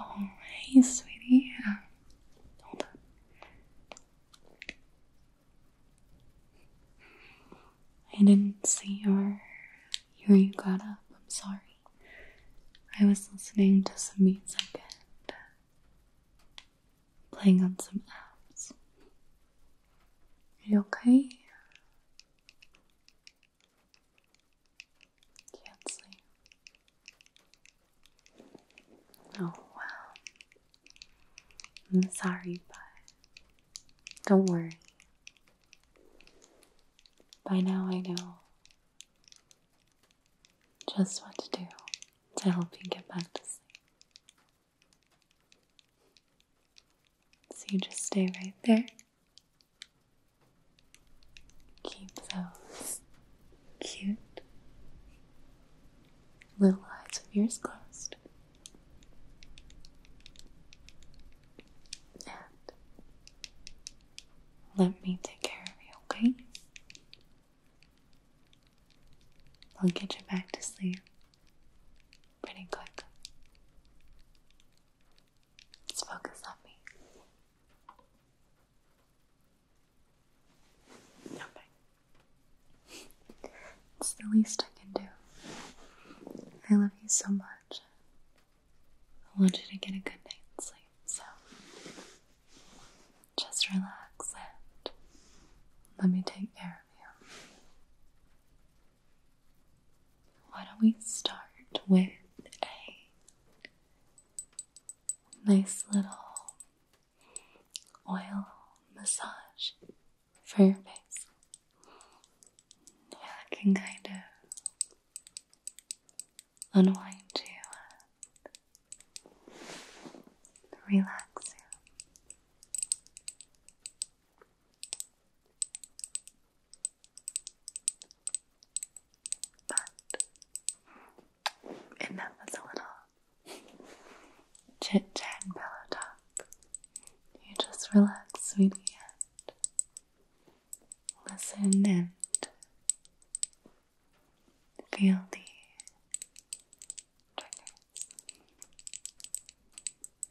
Alright, sweetie. Yeah. Hold on. I didn't see your your you got up. I'm sorry. I was listening to some music and uh, playing on some apps. Are you okay? Can't sleep. Oh, wow. I'm sorry, but don't worry. By now, I know just what to do to help you get back to sleep. So you just stay right there. Keep those cute little eyes of yours closed. And let me take care of you, okay? I'll get you back to sleep pretty quick. Just focus on me. Okay. it's the least I can do. I love you so much. I want you to get a good night's sleep, so just relax and let me take care of you why don't we start with a nice little oil massage for your face? Yeah, that can kind of unwind you relax you. But enough of the little chit chat pillow talk. You just relax, sweetie, and listen and feel the triggers.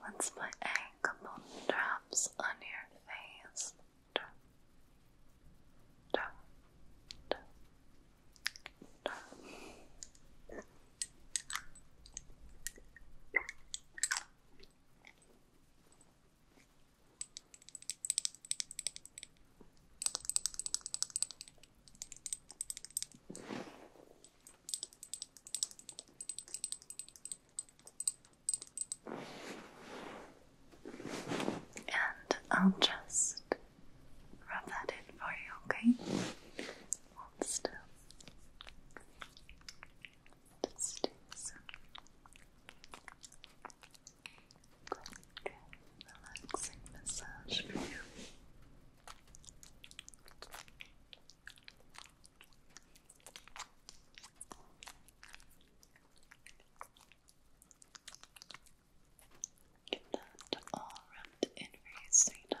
Once my ankle drops on your face, and I'll just rub that in for you, okay? still. Just do some relaxing massage for you. Get that all wrapped in for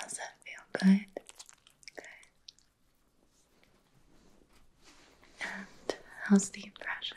Does that feel? Good. And how's the pressure?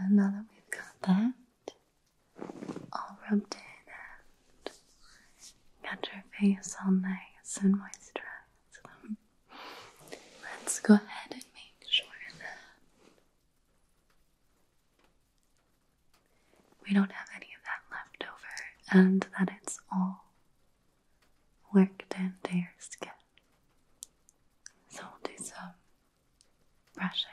And now that we've got that all rubbed in and got your face all nice and moisturized, Let's go ahead and make sure that we don't have any of that left over and that it's all worked into your skin. So we'll do some brushing.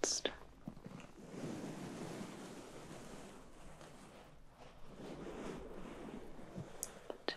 Let's start. Two, One,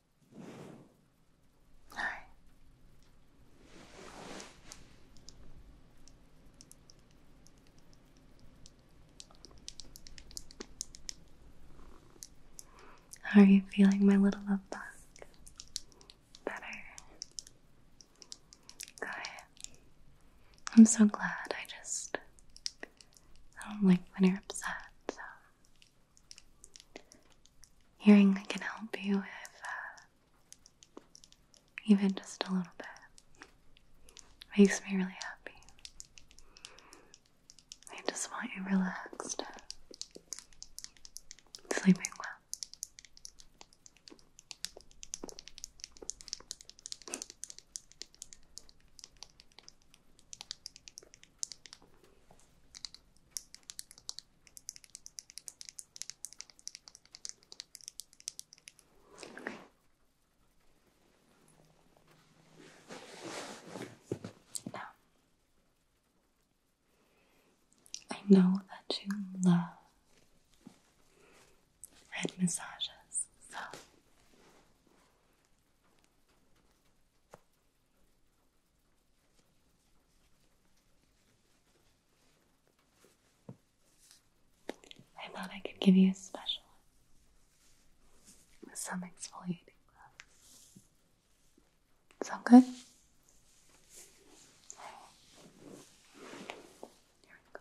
All right. How are you feeling, my little love bug? Better. Good. I'm so glad. I just I don't like when you're upset. So Hearing can help you uh, even just a little bit makes me really happy. I just want you relaxed, sleeping well. I know that you love head massages, so I thought I could give you a special some exfoliating Sound good? Here we go.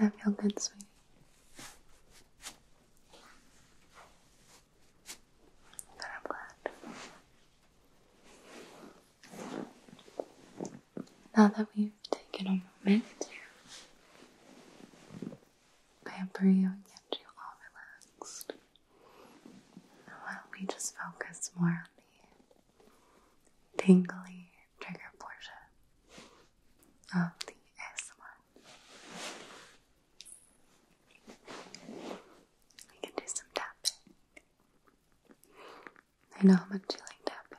That feel good, sweetie. I'm glad. Now that we've taken a moment to pamper you and get you all relaxed why don't we just focus more on the tingly trigger portion of the ASMR? We can do some tapping. I know how much you like tapping.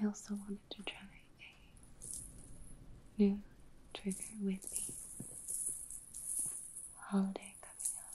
I also wanted to try a new trigger with the holiday coming up.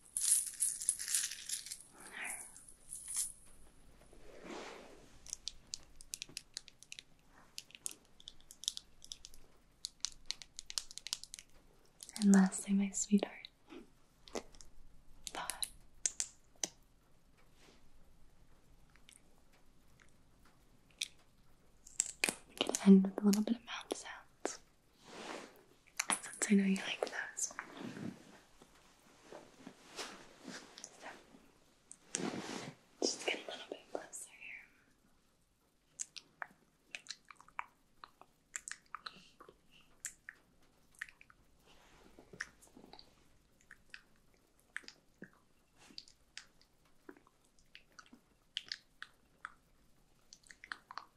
And lastly, my sweetheart. We can end with a little bit of mouth sounds. Since I know you like those. just get a little bit closer here.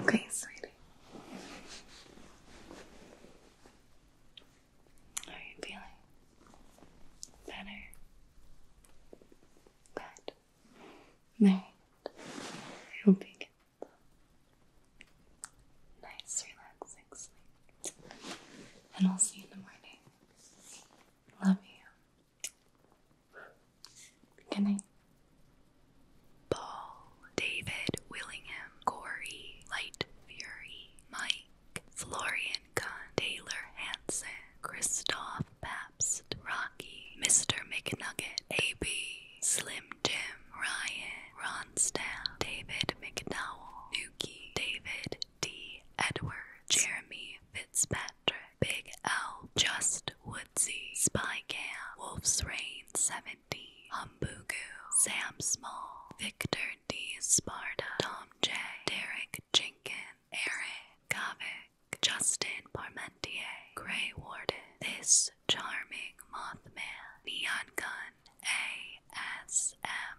Okay, sweetie. How are you feeling? Better? Good. Alright. I hope you get nice, relaxing sleep. And I'll see you in the morning. Love you. Good night. Paul, David, Willingham, Corey, Light Fury, Mike, Florian Kahn, Taylor Hansen, Christoph Pat. Rocky, Mr. McNugget, AB, Slim Jim, Ryan, Ron Ronstadt, David McDowell, Nuki, David D. Edward, Jeremy Fitzpatrick, Big L, Just Woodsy, Spy Cam, Wolf's Rain 17, Humbugu, Sam Small, Victor D. Sparta, Tom J, Derek Jenkins, Eric Gavin, Justin Parmentier, Grey Warden, This Charming Mothman, Neon Gun, ASMR,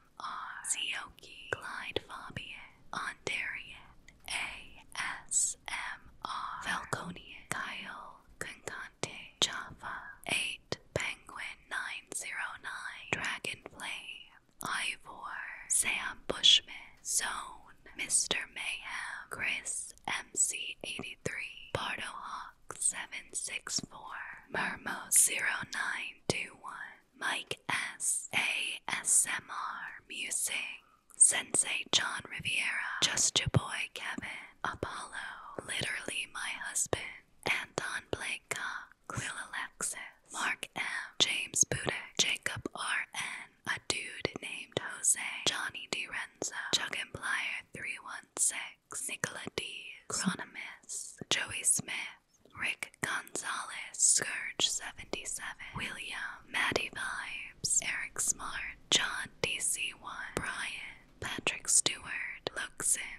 Sioki, Clyde Fabian, Ondarian, ASMR, Falconian, Kyle, Concante, Java, 8, Penguin 909, Dragonflame, Ivor, Sam Bushman, Zone, Mr. Mayhem, Chris, MC83, Bardo Hawk 764, Mermo 0921, Mike S. ASMR Musing, Sensei John Riviera, Just Your Boy Kevin, Apollo, Literally My Husband, Anton Blake Cox, Quill Alexis, Mark M. James Budek, Jacob R. N a dude named Jose, Johnny DiRenzo, Chuck and Plier 316, Nicola D, Chronomus, Joey Smith, Rick Gonzalez, Scourge 77, William, Maddie Vibes, Eric Smart, John DC1, Brian, Patrick Stewart, Luxin.